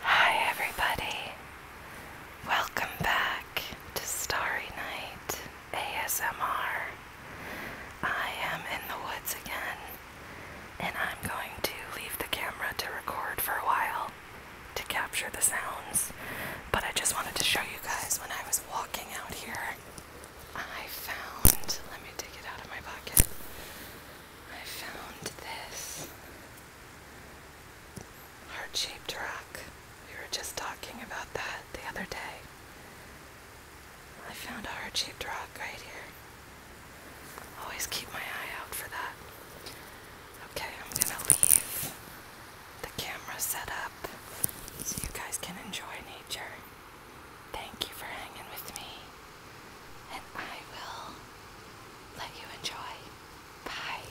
Hi, everybody. Welcome back to Starry Night ASMR. I am in the woods again, and I'm going to leave the camera to record for a while to capture the sounds. But I just wanted to show you guys when I was walking out here, I found, let me take it out of my pocket. I found this heart-shaped rock. We were just talking about that the other day. I found a heart-shaped rock right here. Always keep my eye out for that. Okay, I'm gonna leave the camera set up so you guys can enjoy nature. Thank you for hanging with me and I will let you enjoy. Bye.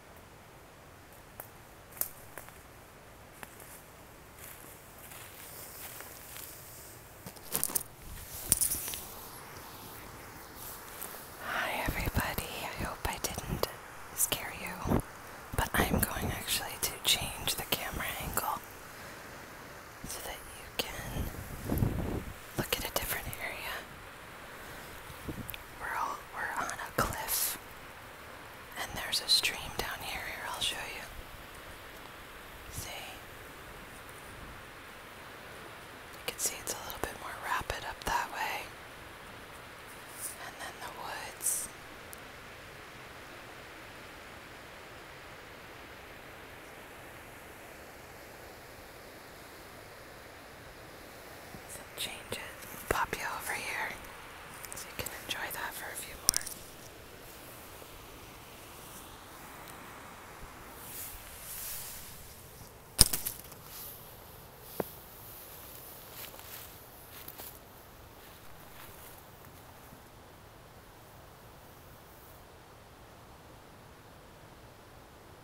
Hi, everybody. I hope I didn't scare you, but I'm going actually to change the camera angle so that you can look at a different area. We're all, we're on a cliff, and there's a stream down here. Here, I'll show you. See, you can see it's a little bit more rapid up that way, and then the woods. So change it. pop you over here so you can enjoy that for a few more.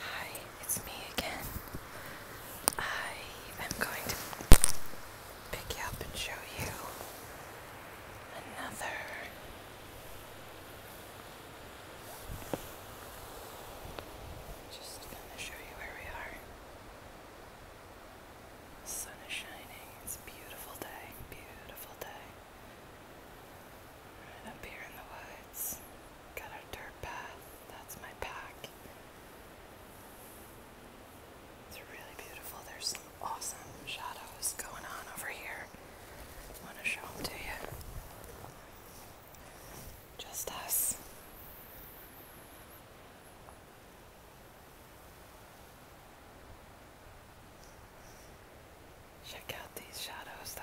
Hi, it's me again. I am going to pick you up and show you another just gonna show you where we are. sun is shining. It's a beautiful day, beautiful day. Right up here in the woods. Got a dirt path. That's my pack. It's really beautiful. There's some awesome shadows going on over here. I want to show them to you. Just us. Check out these shadows though.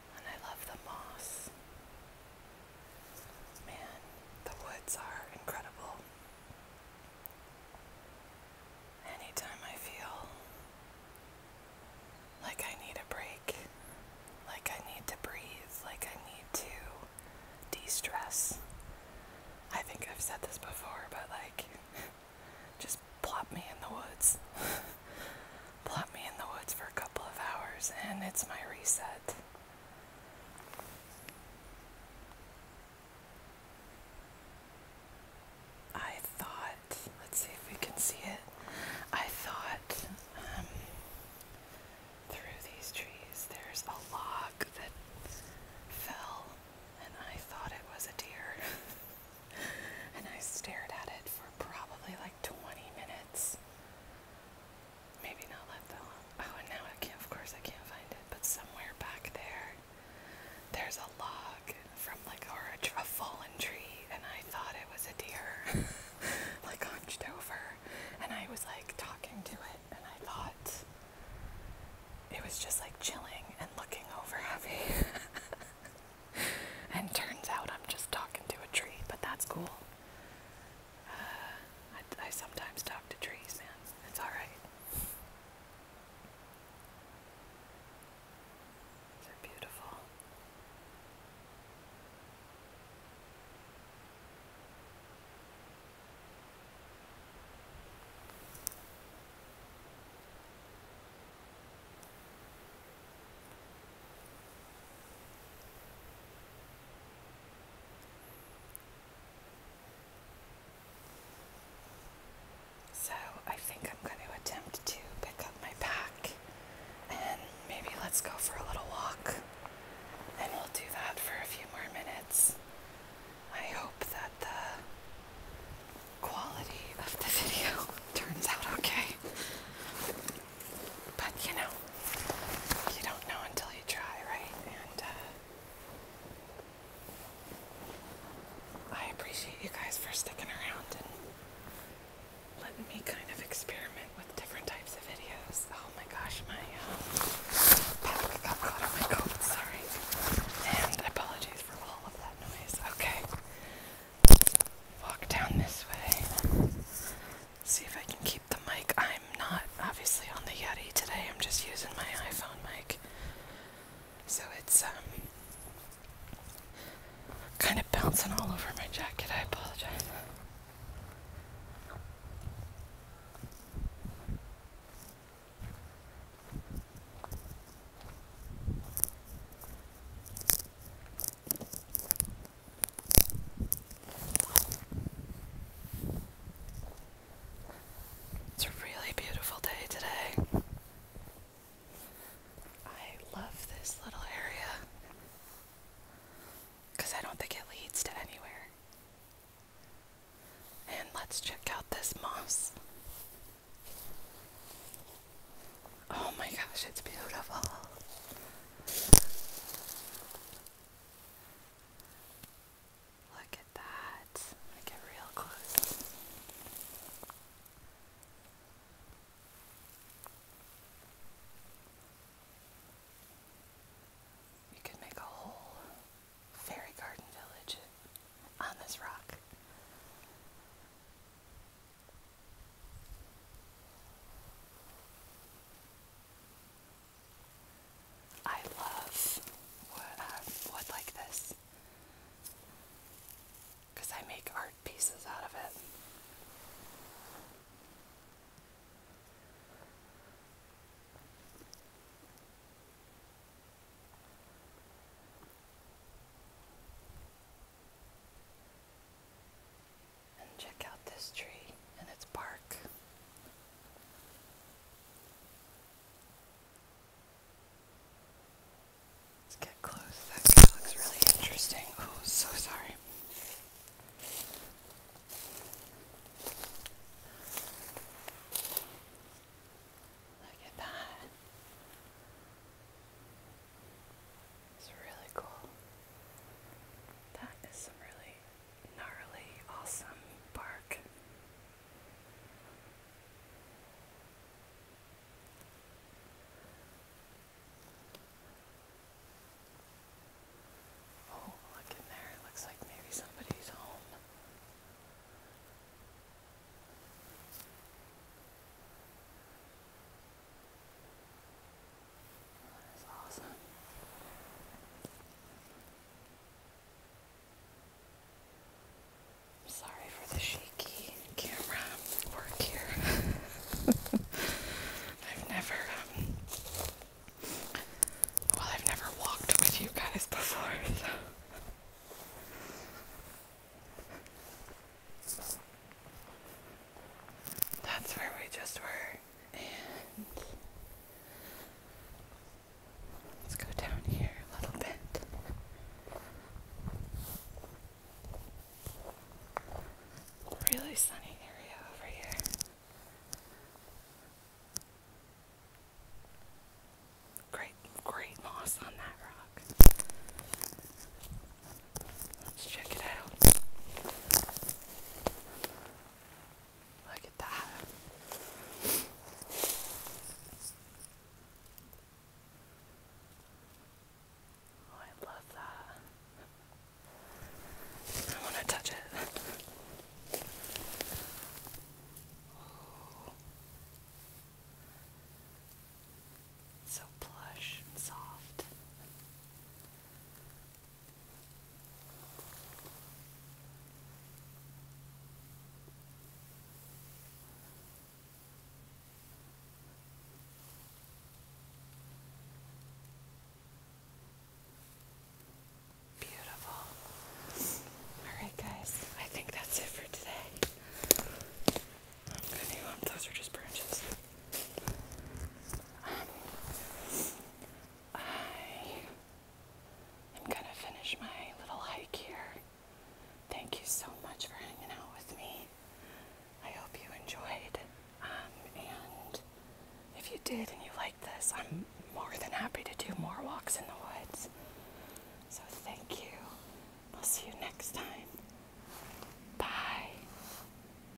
And I love the moss. Man, the woods are incredible. Anytime I feel like I need a break, like I need to breathe, like I need to de stress, I think I've said this before, but like, just plop me in the woods. plop me in the woods for a couple of hours, and it's my reset. I thought, let's see if we can see it. I thought um, through these trees there's a log that fell, and I thought it was a deer. and I stared at it for probably like 20 minutes. Maybe not let the oh, and now I can't. Of course, I can't find it. But somewhere back there, there's a log from like a, a fallen tree, and I thought it was a deer, like hunched over, and I was like talking to it, and I thought it was just like chilling and looking over at me. and turns out I'm just talking to a tree, but that's cool. I, I sometimes talk to trees, man. It's alright. They're beautiful. So I think I'm going to attempt to pick up my pack and maybe let's go for a little walk. And we'll do that for a few more minutes. I hope that the quality of the video turns out okay. But you know, you don't know until you try, right? And uh, I appreciate you guys for sticking around and letting me kind of experiment with different types of videos. Oh my gosh, my uh, pack got caught on my coat, sorry. And apologies for all of that noise. Okay. Walk down this way. See if I can keep the mic. I'm not obviously on the Yeti today. I'm just using my iPhone mic. So it's um, kind of bouncing all over my jacket. I apologize. It's a really beautiful day today. I love this little area because I don't think it leads to anywhere. And let's check out this moss. Oh my gosh, it's beautiful. Look at that. I get real close. You could make a whole fairy garden village on this rock. I love um, wood, like this because I make art pieces out of it. And check out this tree and its bark. Let's get close. That guy looks really interesting. Oh, so sorry. Look at that. It's really cool. That is some really gnarly, awesome bark. Oh, look in there. It looks like maybe somebody's home. That is sorry for the shaky camera work here. I've never, um, well, I've never walked with you guys before, That's where we just were let's go down here a little bit. Really sunny area over here. Great, great moss on that rock. Let's check it out. Look at that. Oh, I love that. I want to touch it. So plush and soft. Beautiful. All right, guys, I think that's it for today. Um, those are just branches. I am going to finish my little hike here. Thank you so much for hanging out with me. I hope you enjoyed. Um, and if you did and you liked this, I'm more than happy to do more walks in the woods. So thank you. I'll see you next time. Bye.